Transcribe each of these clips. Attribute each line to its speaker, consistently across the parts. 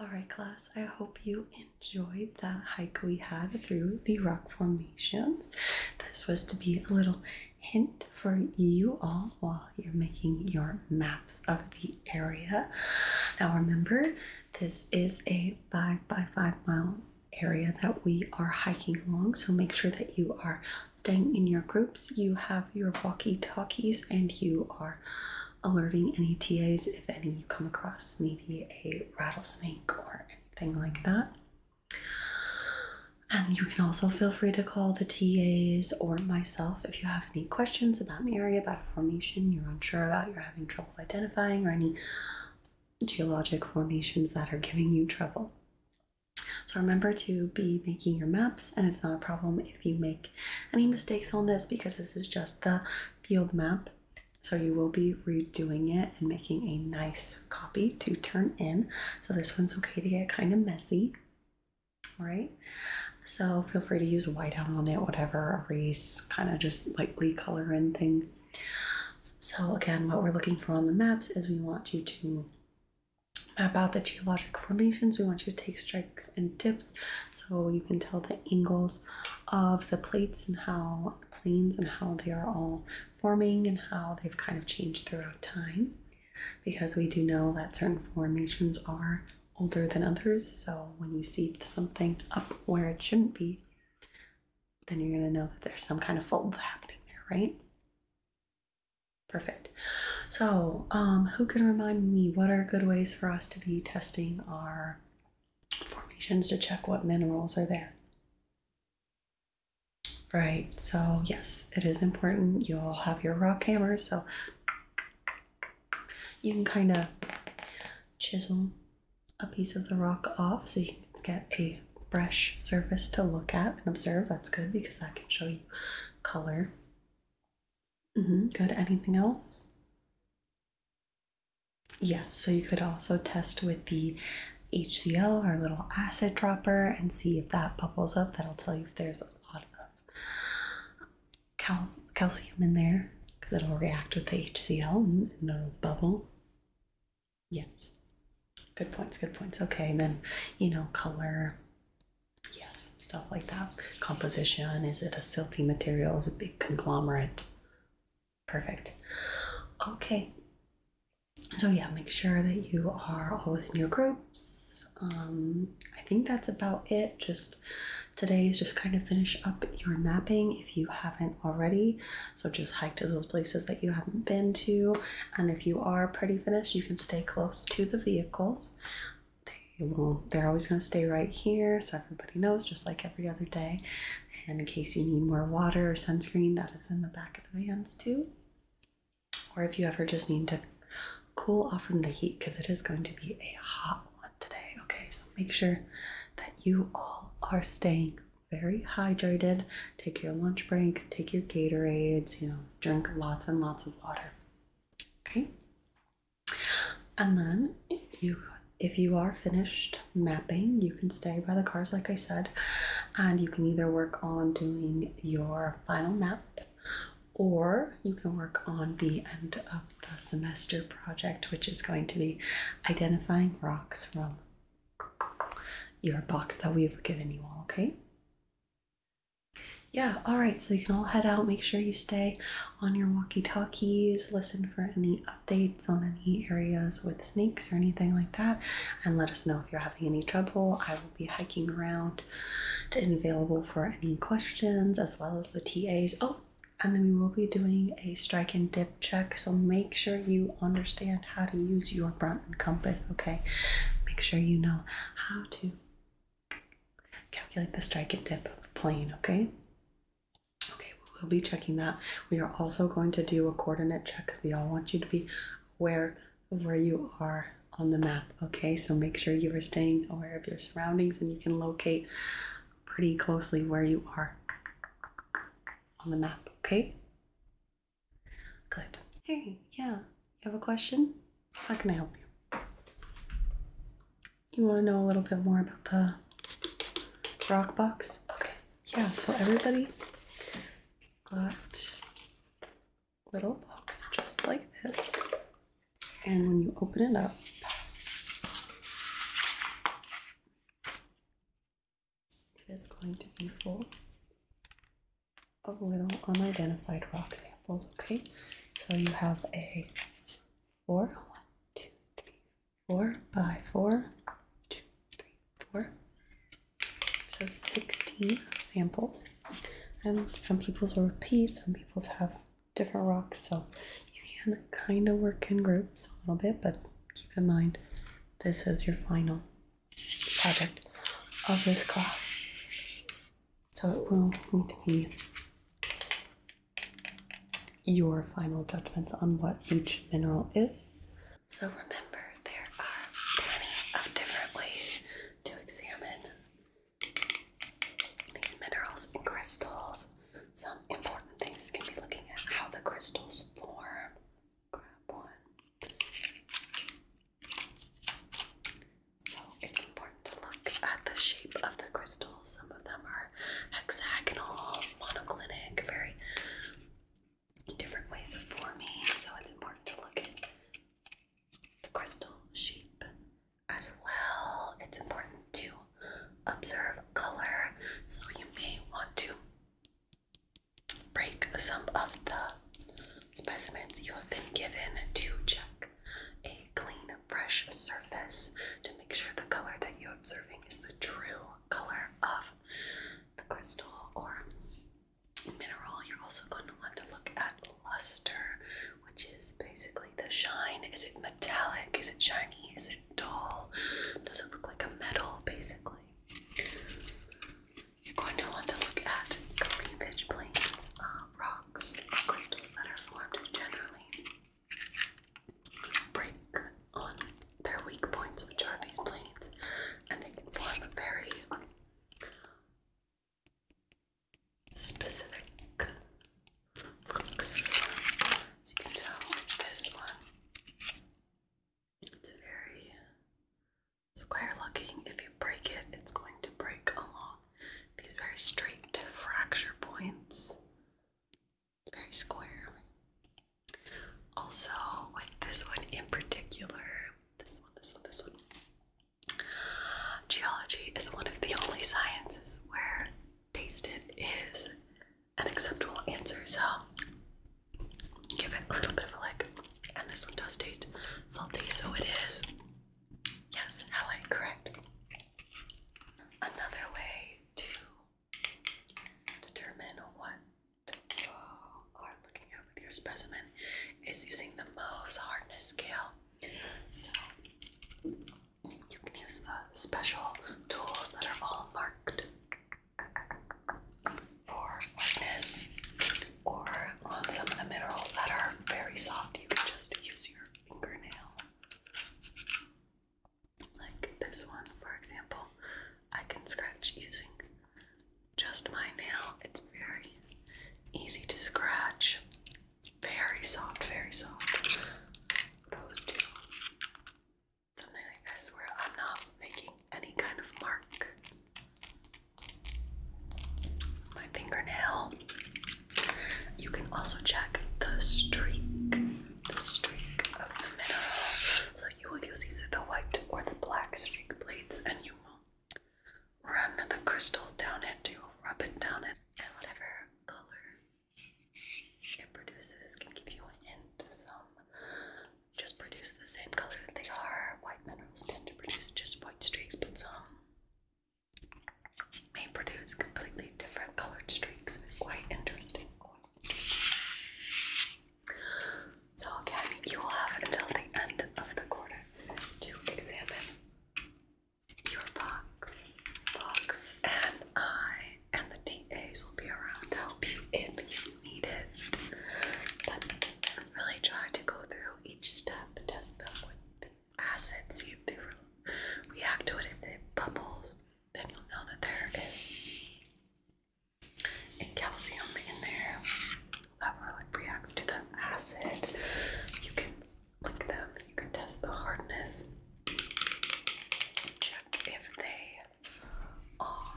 Speaker 1: Alright, class, I hope you enjoyed that hike we had through the rock formations. This was to be a little hint for you all while you're making your maps of the area. Now, remember, this is a five by five mile area that we are hiking along, so make sure that you are staying in your groups, you have your walkie talkies, and you are alerting any TAs if any you come across, maybe a rattlesnake or anything like that. And you can also feel free to call the TAs or myself if you have any questions about an area, about a formation you're unsure about, you're having trouble identifying, or any geologic formations that are giving you trouble. So remember to be making your maps, and it's not a problem if you make any mistakes on this because this is just the field map. So you will be redoing it and making a nice copy to turn in. So this one's okay to get kind of messy, right? So feel free to use a whiteout on it, whatever, erase, kind of just lightly color in things. So again, what we're looking for on the maps is we want you to map out the geologic formations. We want you to take strikes and dips so you can tell the angles of the plates and how planes and how they are all forming and how they've kind of changed throughout time because we do know that certain formations are older than others so when you see something up where it shouldn't be then you're going to know that there's some kind of fold happening there right perfect so, um, who can remind me what are good ways for us to be testing our formations to check what minerals are there? Right, so yes, it is important. you all have your rock hammers, so you can kind of chisel a piece of the rock off so you can get a fresh surface to look at and observe. That's good because that can show you color. Mm -hmm. Good. Anything else? Yes, so you could also test with the HCl, our little acid dropper, and see if that bubbles up. That'll tell you if there's a lot of cal calcium in there because it'll react with the HCl and it bubble. Yes, good points, good points. Okay, and then you know, color, Yes, stuff like that. Composition is it a silty material? Is it big conglomerate? Perfect. Okay. So, yeah, make sure that you are all within your groups. Um, I think that's about it. Just today is just kind of finish up your mapping if you haven't already. So just hike to those places that you haven't been to. And if you are pretty finished, you can stay close to the vehicles they will they're always going to stay right here so everybody knows just like every other day and in case you need more water or sunscreen that is in the back of the vans too or if you ever just need to cool off from the heat because it is going to be a hot one today okay so make sure that you all are staying very hydrated take your lunch breaks take your gatorades you know drink lots and lots of water Okay. And then if you if you are finished mapping, you can stay by the cars like I said, and you can either work on doing your final map or you can work on the end of the semester project, which is going to be identifying rocks from your box that we've given you all, okay? Yeah, all right, so you can all head out. Make sure you stay on your walkie talkies, listen for any updates on any areas with snakes or anything like that, and let us know if you're having any trouble. I will be hiking around and available for any questions as well as the TAs. Oh, and then we will be doing a strike and dip check, so make sure you understand how to use your Broughton compass, okay? Make sure you know how to Calculate the strike and dip of the plane, okay? Okay, we'll be checking that. We are also going to do a coordinate check because we all want you to be aware of where you are on the map, okay? So make sure you are staying aware of your surroundings and you can locate pretty closely where you are on the map, okay? Good. Hey, yeah, you have a question? How can I help you? You want to know a little bit more about the rock box? Okay. Yeah, so everybody got little box just like this. And when you open it up, it is going to be full of little unidentified rock samples, okay? So you have a four, one, two, three, four by four, two, three, four. So 16 samples. And some people's will repeat, some people's have different rocks, so you can kind of work in groups a little bit, but keep in mind this is your final project of this class. So it will need to be your final judgments on what each mineral is.
Speaker 2: So remember, there are plenty of different ways to examine these minerals and crystals. Some important things can be looking at how the crystals form. Grab one. So it's important to look at the shape of the crystals. Some of them are hexagonal, monoclinic, very different ways of forming. So it's important to look at the crystal shape as well. It's important to observe color. So you may want to break some of the specimens you have been given to check a clean, fresh surface to make sure the color that you're observing is the true color of the crystal or mineral. You're also going to want to look at luster, which is basically the shine. Is it metallic? Is it shiny? Is it dull? Does it look like a metal, basically? You're going to want to look at cleavage planes, uh, rocks, crystals that are formed generally break on their weak points, which are these planes, and they can form a very specific looks. As you can tell, this one, it's very square looking. If you break it, it's going to break along these very straight fracture points. Very square. Also, with this one in particular, this one, this one, this one. Geology is one of the only sciences where tasted is an acceptable answer. So give it a little bit of a lick. And this one does taste salty, so it is. Yes, Helen, correct. Another way to determine what you are looking at with your specimen is using the Mohs hardness scale. So you can use the special tools that are all marked for lightness, or on some of the minerals that are very soft, you can just use your fingernail. Like this one, for example, I can scratch using just my nail. It's very easy to scratch, very soft, very soft. Those two. Something like this, where I'm not making any kind of mark my fingernail. You can also check the streak, the streak of the middle. So you will use either the white or the black streak blades, and you will run the crystal down it. You will rub it down it, and whatever color it produces can give you an hint to some just produce the same color that they are. White minerals tend to produce just white streaks, but some may produce completely different colored streaks. It's quite interesting. Quite interesting. So again, you will have until the end of the quarter to examine your box, box, and I, and the TAs will be around to help you if you you need it. But really try to go through each step, test them with the acid, see if they react to it. If they bubble, then you'll know that there is calcium in there that reacts to the acid. You can lick them, you can test the hardness. Check if they are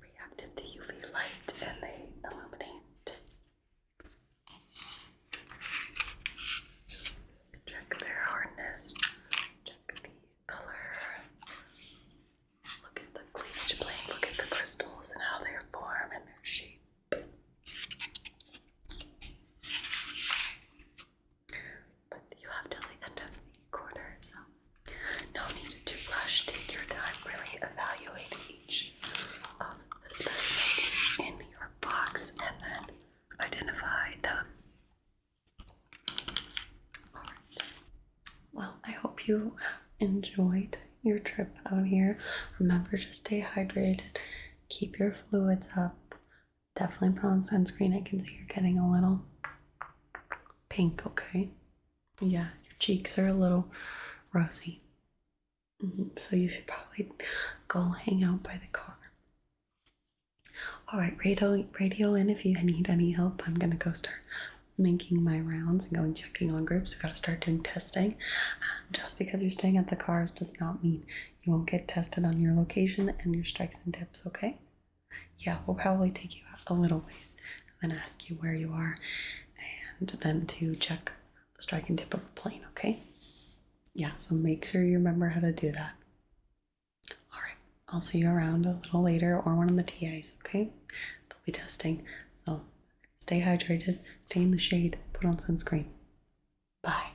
Speaker 2: reacted to UV light and they illuminate. Check their hardness, check the color, look at the cleavage plane, look at the crystals and how they form and their shape. But you have till the end of the quarter, so no need to rush. Take your time, really evaluate each of the specimens in your box and then identify
Speaker 1: them. Well, I hope you enjoyed your trip out here. Remember to stay hydrated, keep your fluids up, Definitely put on sunscreen. I can see you're getting a little pink, okay? Yeah, your cheeks are a little rosy. Mm-hmm. So you should probably go hang out by the car. All right, radio, radio in if you need any help. I'm gonna go start making my rounds and going checking on groups. We gotta start doing testing. Um, just because you're staying at the cars does not mean you won't get tested on your location and your strikes and tips, okay? Yeah, we'll probably take you out a little ways and then ask you where you are and then to check the strike and tip of a plane, okay? Yeah, so make sure you remember how to do that. All right, I'll see you around a little later or one of the TIs, okay? They'll be testing. So stay hydrated, stay in the shade, put on sunscreen. Bye.